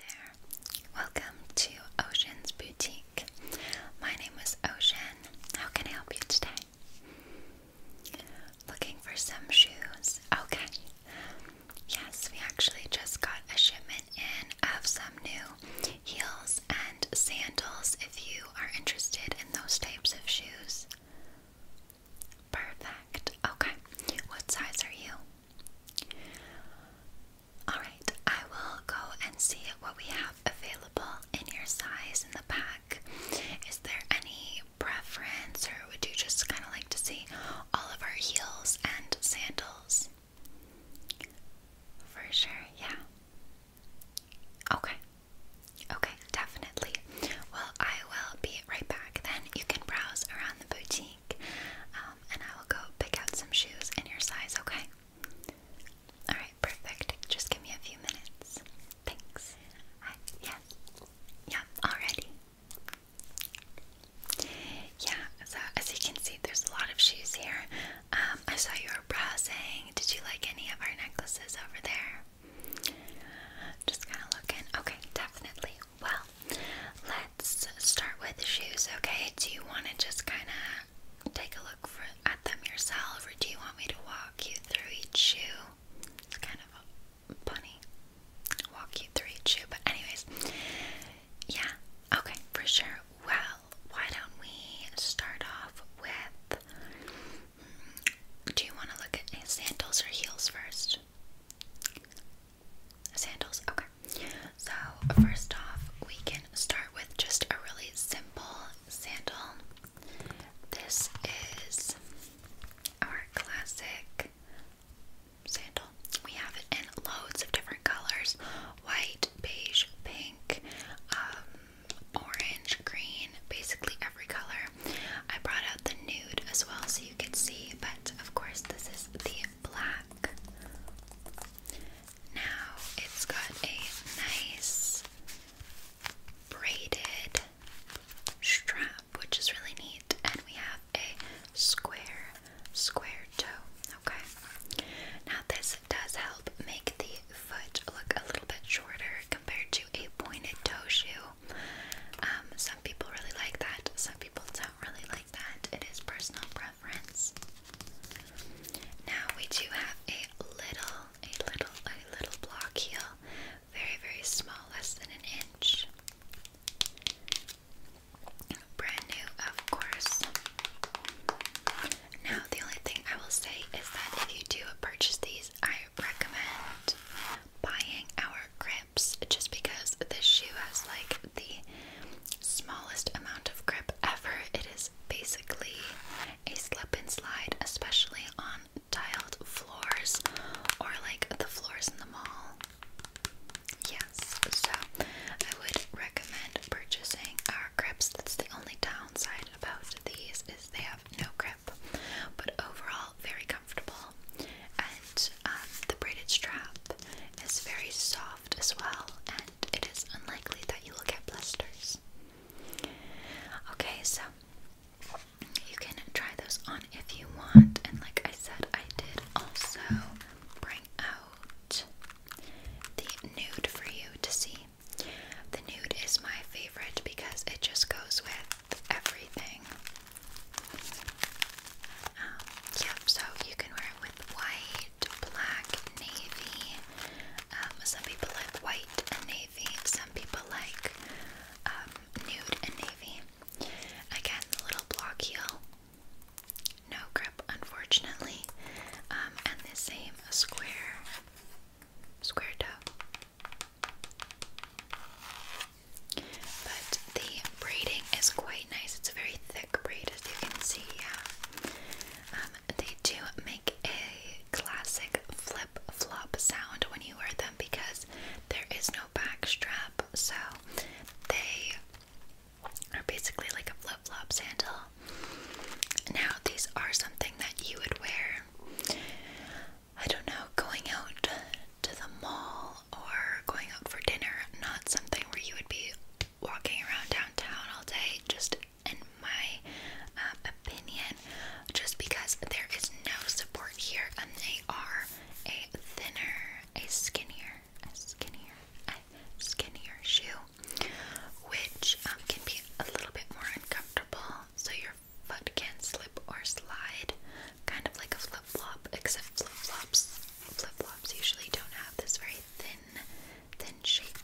Hello there. Welcome to Ocean's Boutique. My name is Ocean. How can I help you today? Looking for some shoes. Okay. Yes, we actually just got a shipment in of some new heels and sandals if you are interested in those types of shoes. Perfect. Okay. What size are you? Alright, I will go and see what we have available in your size in the pack. Is there any preference, or would you just kind of like to see all of our heels and sandals? For sure, yeah. Okay. Okay, definitely. Well, I will be right back then. You can browse around the boutique. Um, um, and I will go pick out some shoes in your size, okay? Alright, perfect. Just give me a few minutes. Thanks. Hi. Yeah. Yeah, already. Yeah, so as you can see, there's a lot of shoes here. Um, I saw you were browsing. Did you like any of our necklaces over there? Just kind of looking. Okay, definitely well, let's start with the shoes, okay? Do you want to just kind of take a look at them yourself, or do you want me to walk you through each shoe? kind of a funny walk you through each shoe, but, anyways, yeah, okay, for sure. Well, why don't we start off with. Hmm, do you want to look at sandals or heels first? Sandals, okay. So, first off, we can start with just a really simple sandal. This is our classic sandal. We have it in loads of different colors white, beige, pink, um, orange, green, basically every color. I brought out the nude as well so you you can see, but of course, this is the black. Now it's got a nice braided strap, which is really neat, and we have a square, square toe. Okay, now this does help make the foot look a little bit shorter compared to a pointed toe shoe. Um, some people really like that, some people don't don't really like that. It is personal preference. Now we do have a little, a little, a little block heel. Very, very small, less than an inch. Brand new, of course. Now, the only thing I will say is that if you do purchase these, I recommend buying our gray just because this shoe has like the smallest amount of grip ever. It is basically a slip and slide, especially on tiled floors or like the floors in the mall. Yes, so I would recommend purchasing our grips. That's the only downside about these is they have no grip, but overall very comfortable and um, the braided strap is very soft as well, and it is unlikely that you will get blisters. Okay, so you can try those on if you want, and like I said, I did also bring out the nude for you to see. The nude is my favorite because it just goes with everything. Um, yep, so you can wear it with white, black, navy. Um, some people like white and navy, some people like um, nude and navy. Again, little block heel, no grip, unfortunately, and the same square, square toe. But the braiding is quite nice. It's a very thick braid, as you can see. Yeah. Um, they do make a classic flip flop sound when you wear them because there is no back strap, so they are basically like a flip flop sandal. Now, these are something that you would wear I don't know, going out to the mall or going out for dinner, not something where you would be walking around downtown all day, just in my um, opinion, just because there is no support here and they are a thinner, a skinnier, a skinnier, a skinnier shoe, which um, can be a little bit more uncomfortable. So you're foot can slip or slide, kind of like a flip flop, except flip flops. Flip flops usually don't have this very thin, thin shape.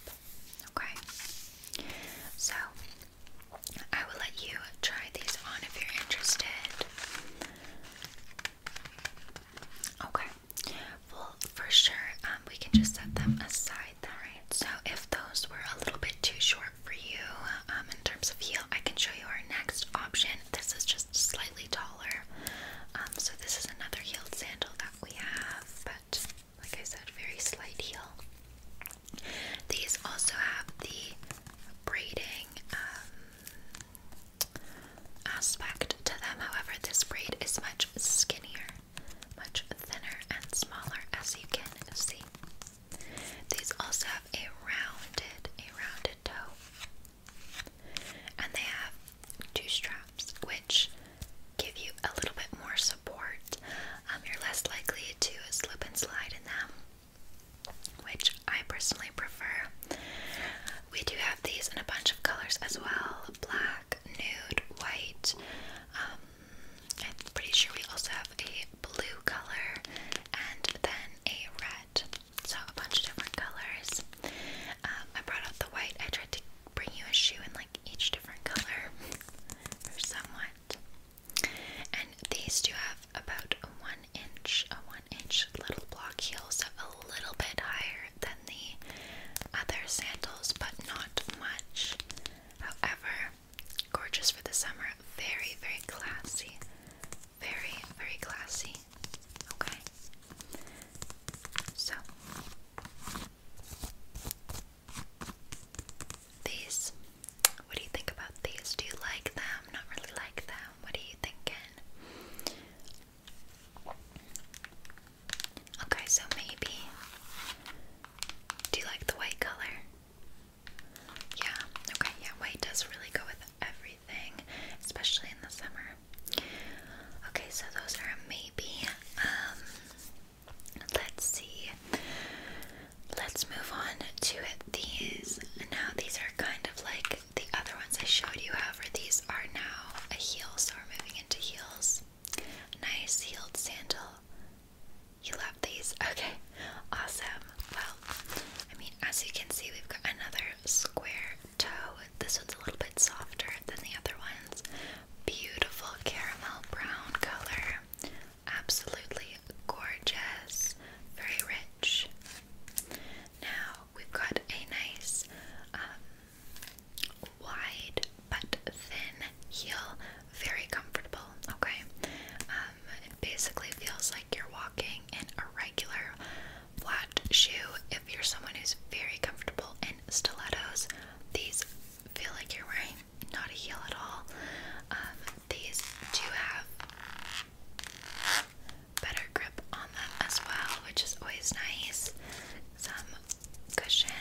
Okay? So, I will let you try these on if you're interested. Okay. Well, for sure, um, we can just set them aside, alright? So, if those were a little bit too short for you um, in terms of heel. I can show you our next option. This is just slightly taller. Um, so this is another heel sandal that we have, but like I said, very slight heel. These also have the braiding um, aspect to them. However, this braid is much skinnier, much thinner and smaller, as you can see. These also have a rounded, a rounded toe. And they have two straps, which give you a little bit more support. Um, you're less likely to slip and slide in them, which I personally prefer. We do have these in a bunch of colors as well black, nude, white. Um, I'm pretty sure we also have a blue color and then a red. So a bunch of different colors. Um, I brought out the white. I tried to bring you a shoe in like each different color or somewhat. And these do have about a one inch, a one inch little block heels, so a little bit higher than the other sandals, but not much. However, Gorgeous for the summer. Very, very classy. Very, very classy. Okay. So these what do you think about these? Do you like them? Not really like them. What are you thinking? Okay, so maybe do you like the white color? Yeah, okay, yeah, white does really go with everything, especially in the summer. Okay, so those are a maybe. Um, let's see. Let's move on to these. Now, these are kind of like the other ones I showed you, however, these are now a heel, so we're moving into heels. Nice heeled sandal. You love these? Okay, awesome. Well, I mean, as you can see, we've got another square toe. This one's a little bit softer than the other ones. Beautiful caramel brown color. Absolutely gorgeous. Very rich. Now we've got a nice um, wide but thin heel very comfortable, okay? Um, it basically feels like you're walking in a regular flat shoe. If you're someone who's very comfortable in stilettos, these feel like you're wearing not a heel at all. Um, these do have better grip on them as well, which is always nice. Some cushion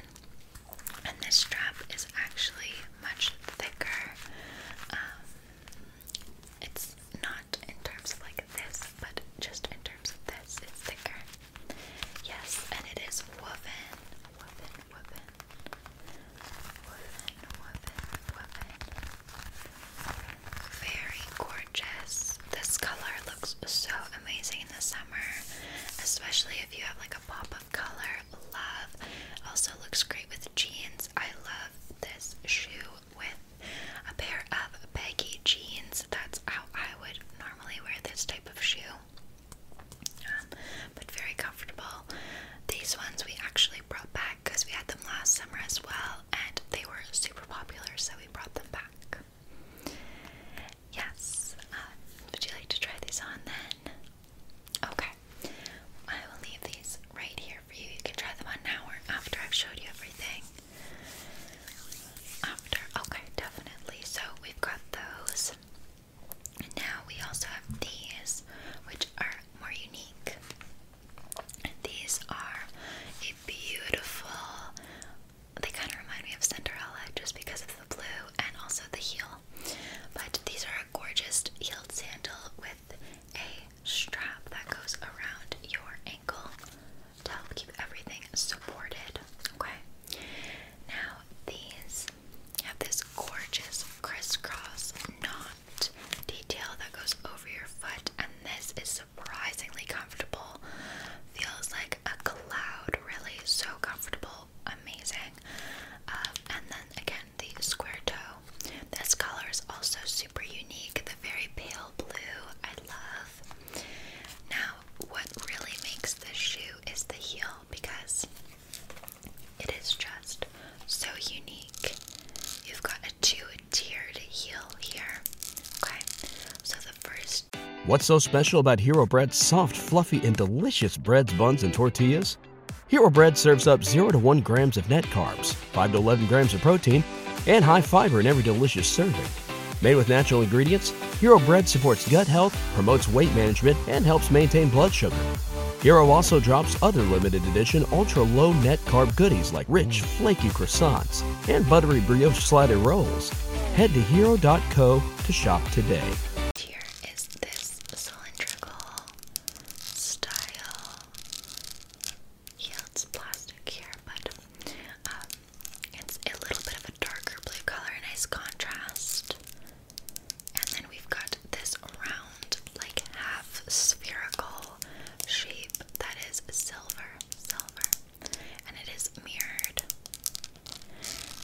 and this strap is actually much thicker. Um, it's not in terms of like this, but just in terms of this, it's thicker. Yes, and it is woven, woven, woven, woven, woven, woven. Very gorgeous. This color looks so amazing in the summer, especially if you have like a pop of color. Love. Also looks great with jeans. I love this shoe with a pair of baggy jeans. That's how I would normally wear this type of shoe. Um, but very comfortable. These ones we actually brought back because we had them last summer as well, and they were super popular, so we brought them back. Yes. Uh, would you like to try these on then? Okay. I will leave these right here for you. You can try them on now or after I've showed you everything. After. Okay, definitely. So we've got those. And now we also have these, which are more unique. these are a beautiful. They kind of remind me of Cinderella just because of blue and also the heel. But these are a gorgeous heeled sandal with a strap that goes around your ankle to help keep everything supported. Okay. Now these have this gorgeous crisscross knot detail that goes over your foot, and this is surprisingly comfortable. Feels like a cloud, really so comfortable amazing. Um, and then again, the square toe. This color is also super unique. The very pale blue, I love. Now, what really makes this shoe is the heel because it is just so unique. You've got a two tiered heel here. Okay, so the first What's so special about Hero Bread's soft, fluffy, and delicious breads, buns, and tortillas? Hero Bread serves up 0 to 1 grams of net carbs, 5 to 11 grams of protein, and high fiber in every delicious serving. Made with natural ingredients, Hero Bread supports gut health, promotes weight management, and helps maintain blood sugar. Hero also drops other limited edition ultra low net carb goodies like rich, flaky croissants and buttery brioche slider rolls. Head to hero.co to shop today here is this cylindrical style. Yeah, it's plastic here, but um, it's a little bit of a darker blue color, nice contrast. And then we've got this round, like half spherical shape that is silver, silver, and it is mirrored.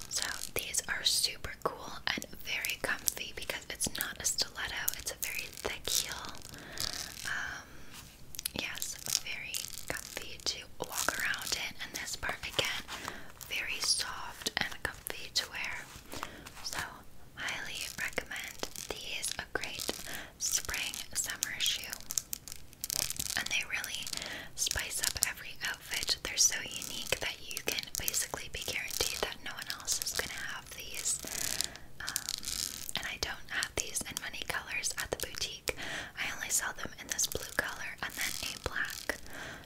So these are super cool and very comfy because it's not a stiletto, it's a very thick heel. Um, yes, very comfy to walk around in, and this part again, very soft and comfy to wear. So, highly recommend these a great spring summer shoe. And they really spice up every outfit. They're so unique that you can basically be guaranteed that no one else is going to have these. Um, and I don't have these in many colors at the boutique. I only sell them in this blue color and then a black.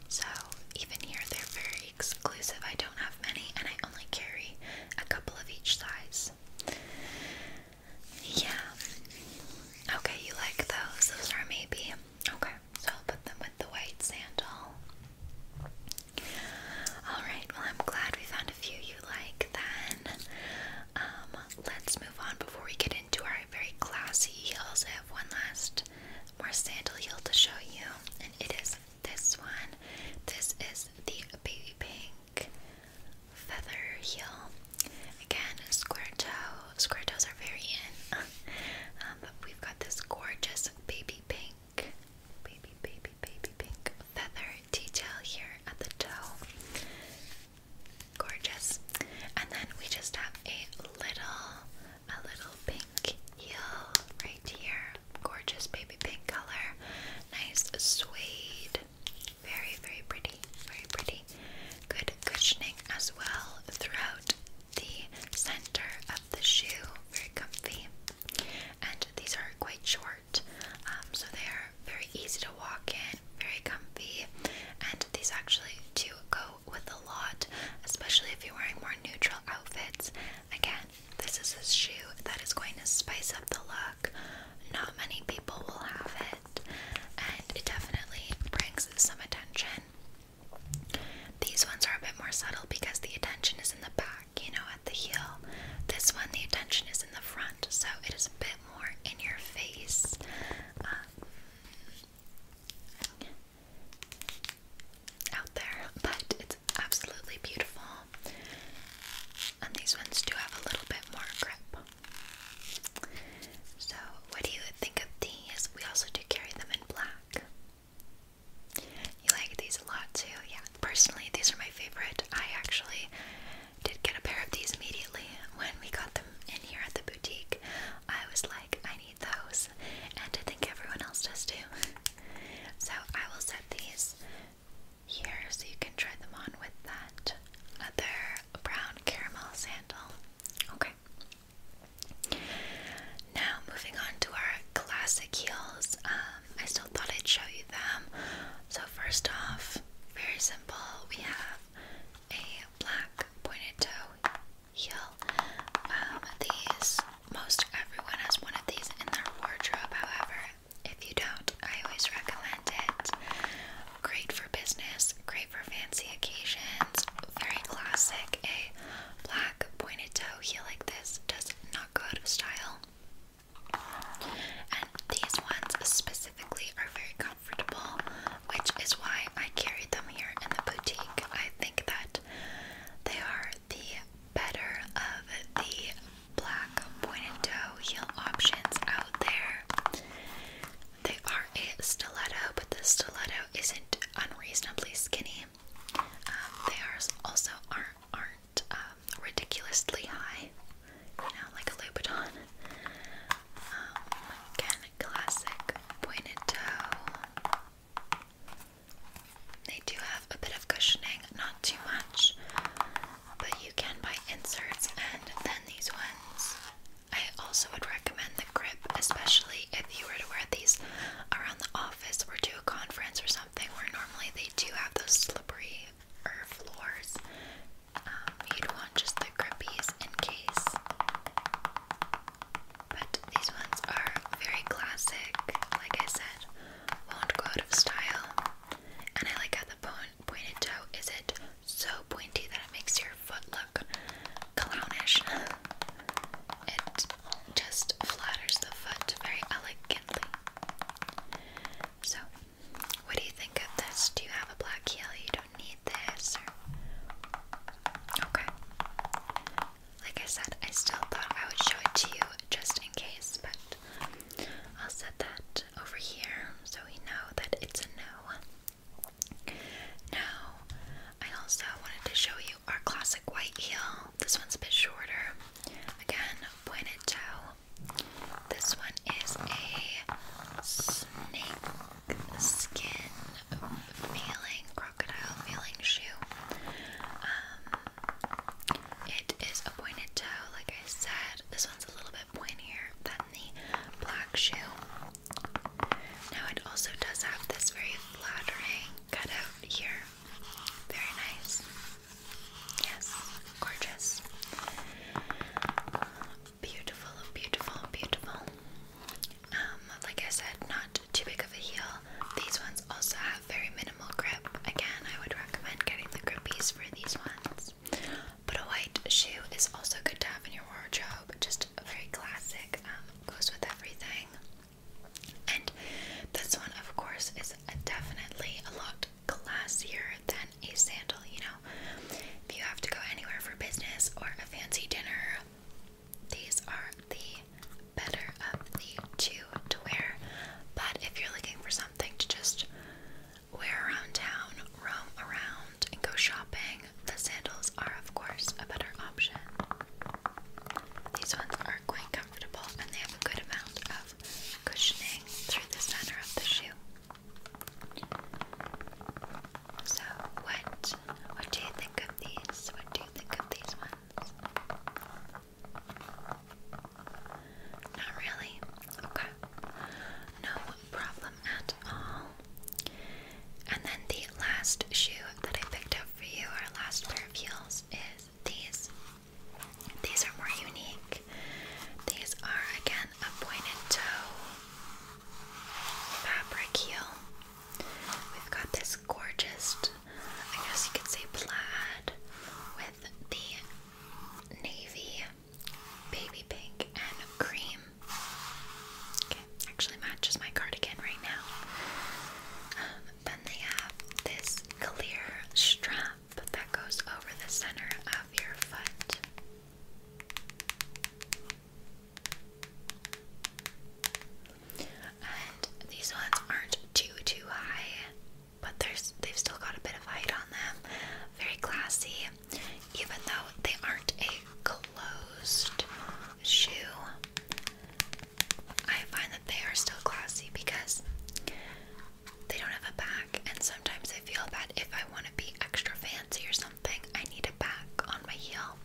So even here, they're very exclusive. I don't have many, and I only carry a couple of each size. Yeah. Okay, you like those. Those are maybe Okay, so I'll put them with the white sandal. Alright, well, I'm glad we found a few you like then. Um, let's move on before we get into our very classy heels. I have one last more sandal heel to show you, and it is this one. This is the baby pink feather heel. Again, square toe. Square toes are very in. Um, we've got this gorgeous baby pink, baby, baby, baby pink feather detail here at the toe. Gorgeous. And then we just have a little, a little pink heel right here. Gorgeous baby pink color. Nice suede. Very, very pretty. Very pretty good cushioning as well throughout the center of the shoe. Very comfy. And these are quite short, um, so they are very easy to walk in, very comfy. And these actually do go with a lot, especially if you're wearing more neutral outfits. Again, this is a shoe that is going to spice up the look. Not many people will have and it definitely brings some attention. These ones are a bit more subtle because the attention is in the back, you know, at the heel. This one, the attention is in the front, so it is a bit more in your face. Um, out there, but it's absolutely beautiful. And these ones do have a little bit more grip. So, what do you think of these? We also do carry them in black. You like these a lot too? Yeah, personally, these are my favorite. I actually did get a pair of these immediately when we got them in here at the boutique. I was like, I need those, and I think everyone else does too. so, I will set these here so you can try them on with that other brown caramel sandal. Okay. Now moving on to our classic heels. Um, I still thought I'd show you them. So first off, very simple. We have a black pointed toe heel. Um, these most everyone has one of these in their wardrobe. However, if you don't, I always recommend Great for business, great for fancy occasions. Very classic. A eh? black pointed toe heel like this does not go out of style. And these ones specifically are very comfortable, which is why I carried them here in the boutique. I think that they are the better of the black pointed toe heel options out there. They are a stiletto, but the stiletto isn't unreasonably skinny. Um, they are also aren't um, ridiculously high, you know, like a Louboutin. Um, again, classic pointed toe. They do have a bit of cushioning, not too much but you can buy inserts and then these ones. I also would recommend the grip, especially if you were to wear these around the office or to a conference or something where normally they do have those slippery or er, floors. Um, you'd want just the grippies in case. But these ones are very classic, like I said, won't go out of style. And I like how the bone pointed toe? Is it so pointy that it makes your foot look clownish? It just flatters the foot very elegantly. So, what do you think of this? Do you have a black heel? You don't need this? Okay. Like I said, I still thought I would show it to you just in case, but I'll set that over here, so we know that it's a no. Now, I also wanted to show you our classic white heel. This one's a bit shorter. Again, pointed toe. This one is a snake skin feeling, crocodile feeling shoe. Um, it is a pointed toe, like I said. This one's a little bit pointier than the black shoe. Now it also does have this very flattering cutout here. Very nice. Yes, gorgeous. Beautiful, beautiful, beautiful. Um, like I said, not too big of a heel. These ones also have very minimal grip. Again, I would recommend getting the grippies for these ones. But a white shoe is also good to have in your wardrobe, just very classic, um, goes with everything. And this one, of course, is definitely a lot classier than a sandal. You know, if you have to go anywhere for business or a fancy dinner, these are the better of the two to wear. But if you're looking for something to just wear around town, roam around, and go shopping, the sandals are, of course, a better option. These ones are quite comfortable and they have a good amount of cushioning through the center of the shoe. So, what what do you think of these? What do you think of these ones? Not really. Okay no problem at all. And then the last shoe that I picked up for you, our last pair of heels, is these. These are more unique. These are again a pointed toe fabric heel. We've got this gorgeous, I guess you could say plaid with the navy, baby pink, and cream. Okay, actually matches my cardigan right now. Um, then they have this clear strap that goes over the center of your foot. And these ones aren't too too high but there's they've still got a bit of height on them. Very classy, even though they aren't a closed shoe. I find that they are still classy because they don't have a back, and sometimes I feel that if I want to be extra fancy or something, I need a back on my heel.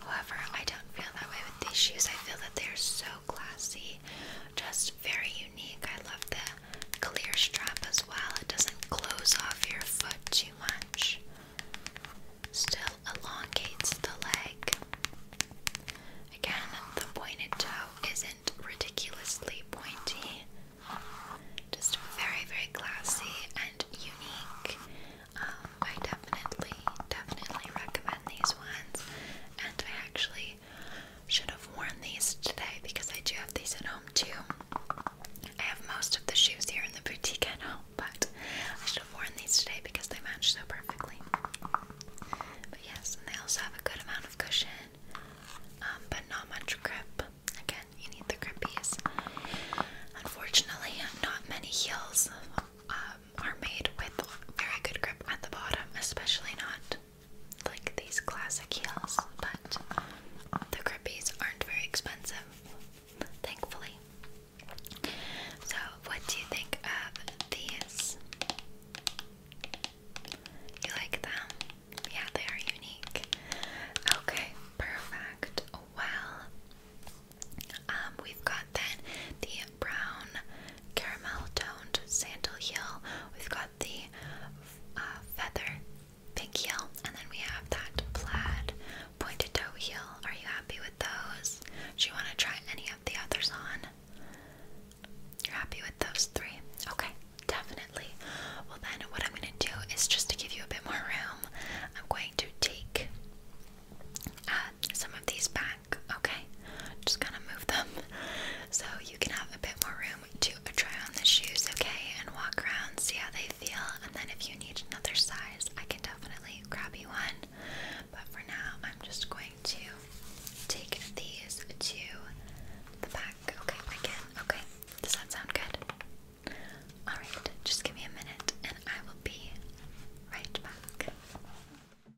However, I don't feel that way with these shoes. I feel that they are so classy, just very unique. I love the clear strap as well, it doesn't close off your foot too much, still elongates the leg. Again, the pointed toe isn't ridiculously pointy, just very, very classy and unique. Um, I definitely, definitely recommend these ones, and I actually I should have worn these today because I do have these at home too. I have most of the shoes here in the boutique at home, but I should have worn these today because they match so perfectly. But yes, and they also have a good amount of cushion, um, but not much grip. Again, you need the grippies. Unfortunately, not many heels um, are made with very good grip at the bottom, especially not like these classic heels, but the Crippies aren't very expensive, thankfully. So, what do you think of these? You like them? Yeah, they are unique. Okay, perfect. Well, um, we've got then the brown caramel toned sandal heel. We've got the uh, feather pink heel, and then we have that plaid pointed toe heel. Are you happy with those? Do you want to try any of the others on? You're happy with those three? Okay, definitely. Well, then, what I'm going to do is just to give you a bit more room, I'm going to take uh, some of these back okay? Just kind of move them so you can have a bit more room to try on the shoes, okay? And walk around, see how they feel, and then if you need another size, I can definitely grab you one. But for now, I'm just going to take these to the back, okay? Again, okay? Does that sound good? Alright, just give me a minute and I will be right back.